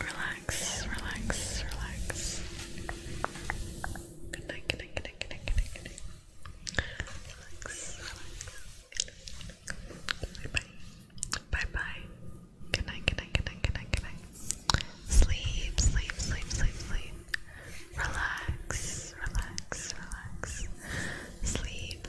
Relax, relax, relax. Good night, good night, good night, good night, good night, Relax, relax. Good night, good night, good night, good night, good night. Sleep, sleep, sleep, sleep, sleep. Relax, relax, relax. Sleep.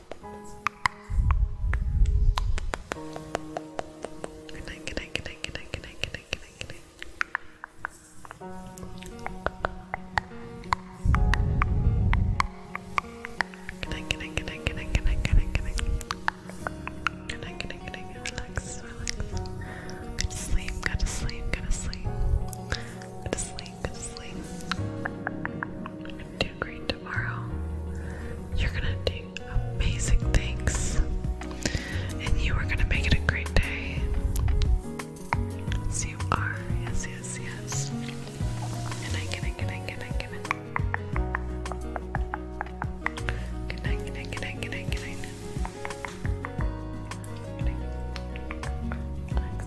Good night, good night, good night, good night, good night, good night, good night, good night. Good night, good night, good night, good night, good night, good night, good night, good night, good night, relax, relax. Go to sleep, go to sleep, go to sleep. Go to sleep, good sleep. Do great tomorrow. You're gonna do amazing things. And you are gonna make it a great day. Yes, you are. Yes, yes, yes. Good night, good night, good night, good night, good night. Good night,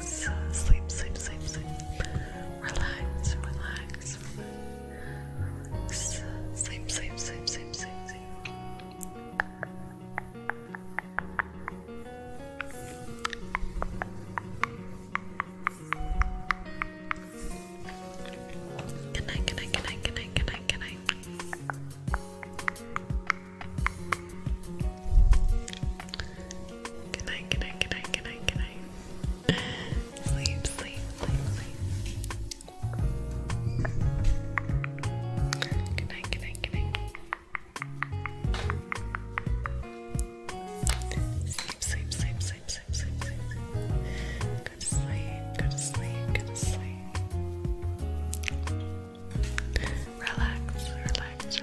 sleep, sleep, sleep, sleep. Relax, relax, Sleep, sleep, sleep, sleep, sleep, sleep. Good night, good night, good night, Good night, good night, good night, good night, good night. Sleep, sleep, sleep, sleep. Good night, good night, good night. Sleep, sleep, sleep, sleep, sleep, sleep, Go to sleep, go to sleep, go to sleep. Relax, relax,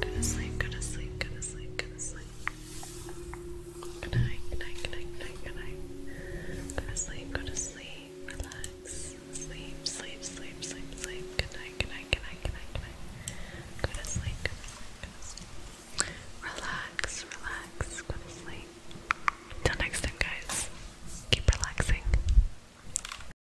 Go to sleep, go to sleep, go to sleep, go to sleep. Good night, good night, good night, good night, good night. Go to sleep, go to sleep, relax. Sleep, sleep, sleep, sleep, sleep. Good night, good night, good night, good night, good night. Go to sleep, go to sleep, go to sleep. Relax, relax, go to sleep. Till next time, guys. Keep relaxing.